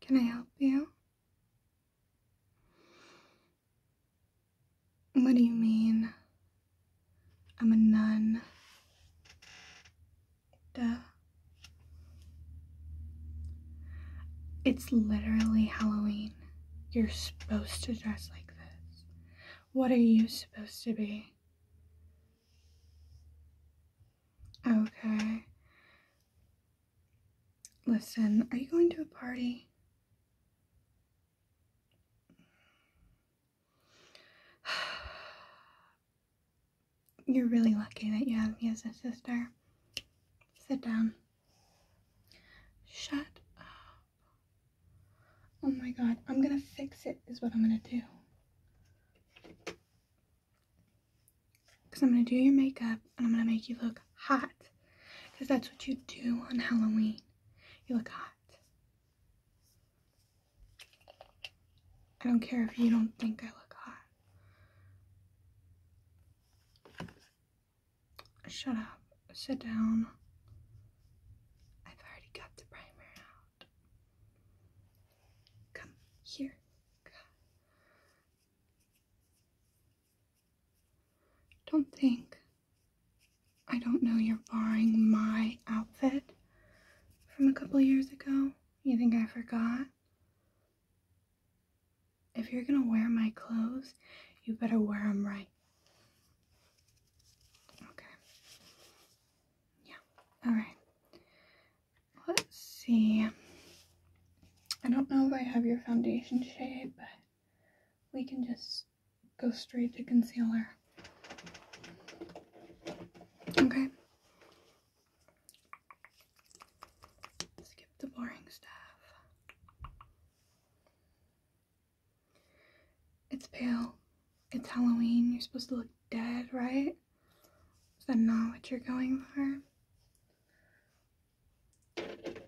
Can I help you? What do you mean? I'm a nun. Duh. It's literally Halloween. You're supposed to dress like this. What are you supposed to be? Okay. Listen, are you going to a party? You're really lucky that you have me as a sister. Sit down. Shut up. Oh my god, I'm gonna fix it, is what I'm gonna do. Because I'm going to do your makeup and I'm going to make you look hot. Because that's what you do on Halloween. You look hot. I don't care if you don't think I look hot. Shut up. Sit down. I've already got the primer out. Come here. Don't think I don't know you're borrowing my outfit from a couple years ago. You think I forgot? If you're gonna wear my clothes, you better wear them right. Okay. Yeah. Alright. Let's see. I don't know if I have your foundation shade, but we can just go straight to concealer. Okay. Skip the boring stuff. It's pale. It's Halloween. You're supposed to look dead, right? Is that not what you're going for? God.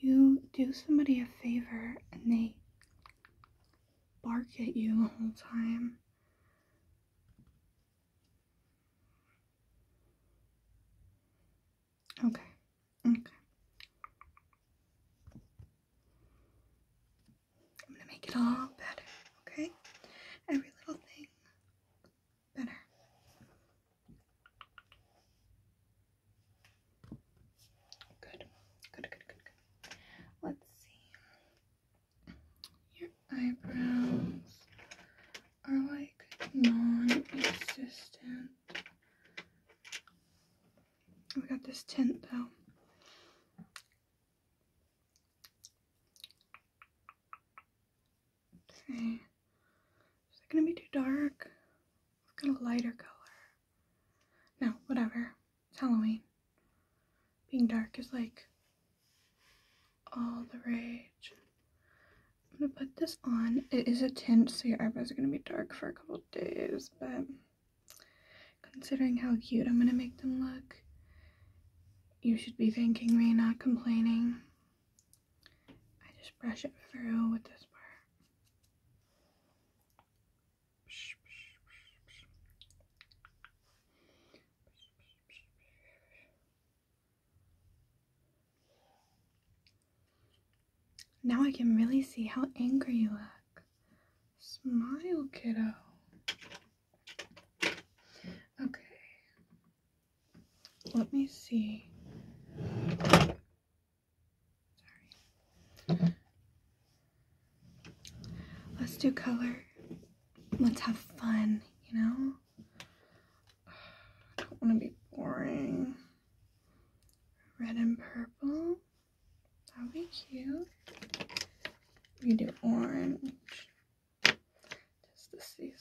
You do somebody a favor and they bark at you the whole time. Okay. Okay. I'm gonna make it all better, okay? Every little thing better. Good, good, good, good, good. Let's see. Your eyebrows are like non existent. We got this tint though. Is it gonna be too dark? I've got a lighter color. No, whatever. It's Halloween. Being dark is like all the rage. I'm gonna put this on. It is a tint, so your eyebrows are gonna be dark for a couple days, but Considering how cute I'm gonna make them look, you should be thanking me, not complaining. I just brush it through with this part. Now I can really see how angry you look. Smile, kiddo. Okay. Let me see. Let's do color. Let's have fun, you know? I don't want to be boring. Red and purple that would be cute. We do orange. Just the season.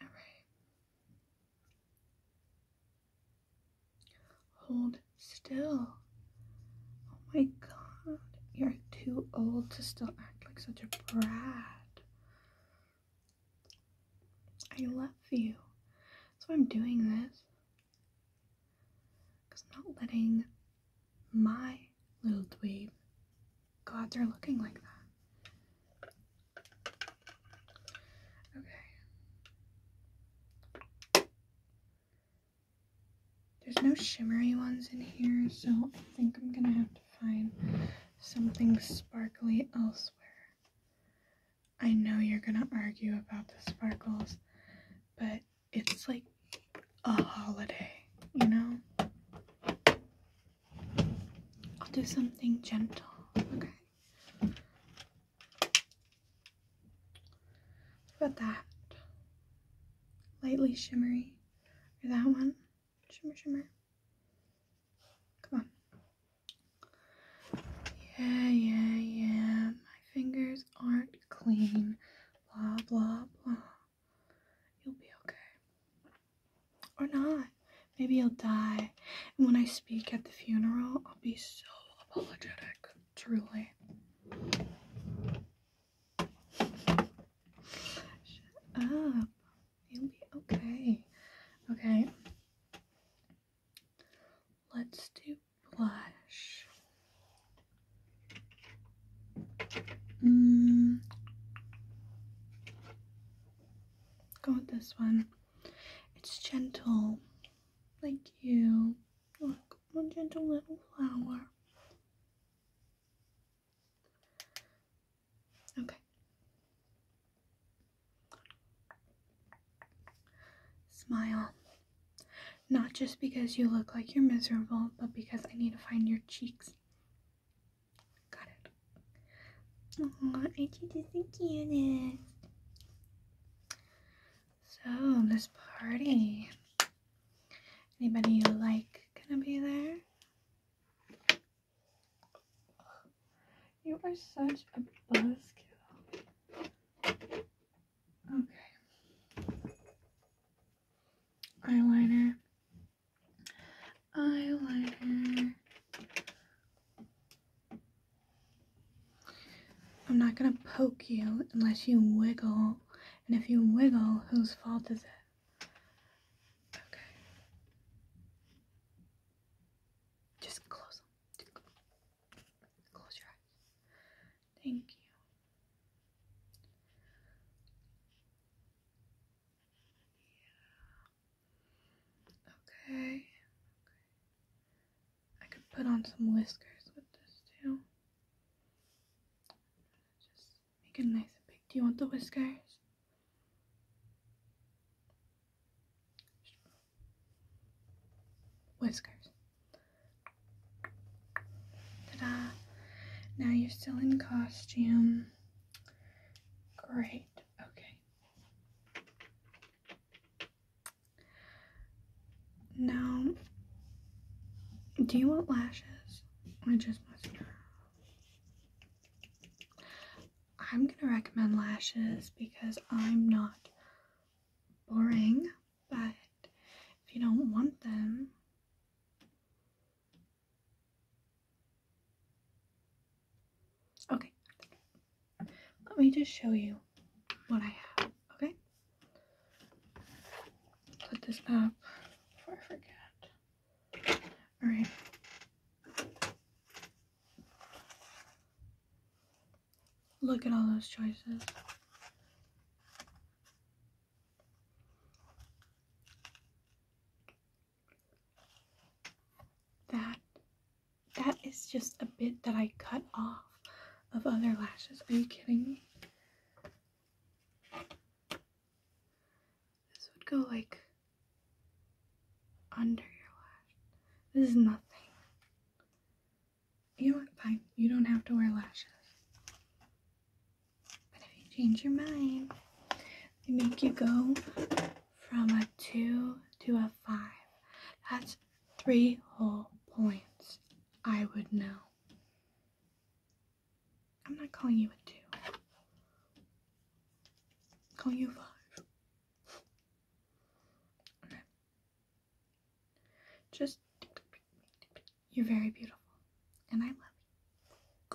All right. Hold still. Oh my god, you're too old to still act like such a brat. I love you. That's why I'm doing this. Because I'm not letting my little dweeb God, they're looking like that. Okay. There's no shimmery ones in here, so I think I'm gonna have to find something sparkly elsewhere. I know you're gonna argue about the sparkles, but it's like a holiday, you know? I'll do something gentle, okay? How about that? Lightly shimmery. Or that one. Shimmer, shimmer. Come on. Yeah, yeah, yeah. My fingers aren't clean. Blah, blah, blah. You'll be okay. Or not. Maybe you'll die. And when I speak at the funeral, I'll be so apologetic. Truly. Shut up. You'll be okay. Okay. Let's do blush. Mm. Go with this one. It's gentle. Thank you. Look, one gentle little flower. Okay. Smile. Not just because you look like you're miserable, but because I need to find your cheeks. Got it. Aw, aren't you just the cutest? So, this party. Anybody you like gonna be there? You are such a buzzkill. Okay. Eyeliner. Eyeliner. I'm not gonna poke you unless you wiggle and if you wiggle, whose fault is it? Okay. Just close them. close, your eyes. Thank you. Okay. I could put on some whiskers with this too. Just make it nice and big. Do you want the whiskers? Whiskers. Ta-da! Now you're still in costume. Great. Okay. Now, do you want lashes or just mascara? I'm gonna recommend lashes because I'm not boring, but if you don't want them, okay, let me just show you what I have, okay? put this up before I forget. Alright. Look at all those choices. That, that is just a bit that I cut off of other lashes. Are you kidding me? This would go like under your lash. This is nothing. You know what? Fine. You don't have to wear lashes. But if you change your mind, they make you go from a two to a five. That's three whole points. I would know. I'm not calling you a two. Call you a five. Just you're very beautiful. And I love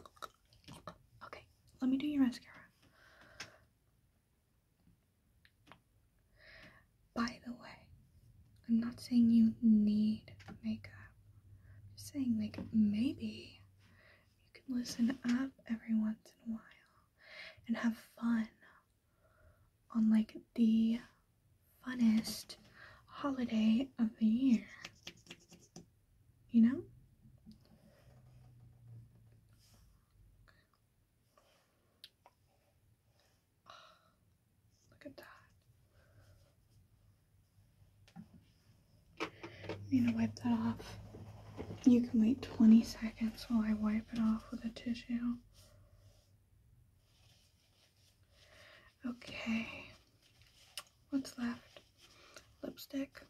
you. Okay, let me do your mascara. By the way, I'm not saying you need makeup. I'm just saying, like, maybe you can listen up every once in a while and have fun on, like, the funnest holiday of the year. You know? Look at that. I'm to wipe that off. You can wait 20 seconds while I wipe it off with a tissue. Okay. What's left? Lipstick.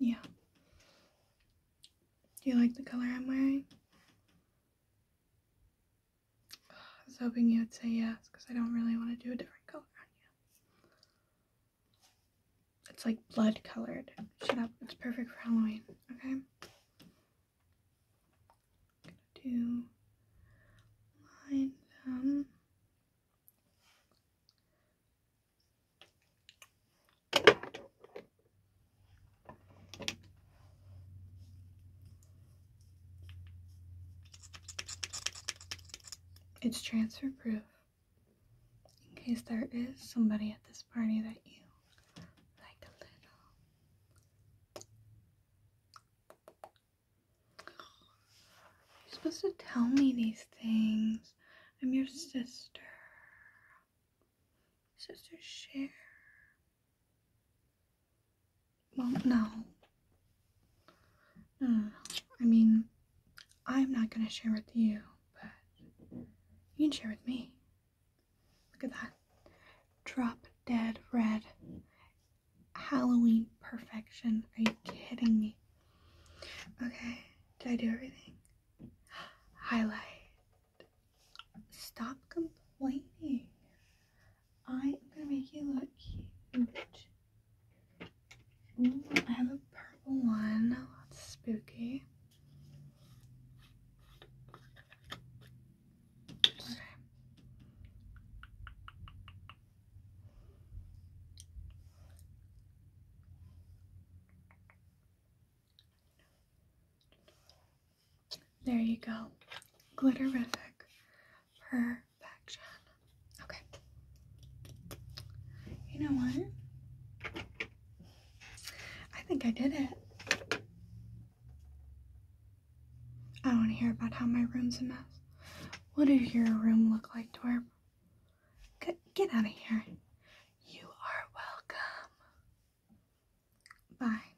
Yeah. Do you like the color I'm wearing? I was hoping you'd say yes because I don't really want to do a different color on you. It's like blood colored. Shut up. It's perfect for Halloween. Okay. do line them. Um, it's transfer proof in case there is somebody at this party that you like a little. You're supposed to tell me these things. I'm your sister. Sister Share. Well, no. I mean, I'm not gonna share with you, but you can share with me. Look at that. Drop dead red. Halloween perfection. Are you kidding me? Okay, did I do everything? Highlight. Stop complaining. I am gonna make you look cute. I have a purple one. Oh, that's spooky. There you go. Glitterific. Perfection. Okay. You know what? I think I did it. I don't want to hear about how my room's a mess. What does your room look like, Torb? Get, get out of here. You are welcome. Bye.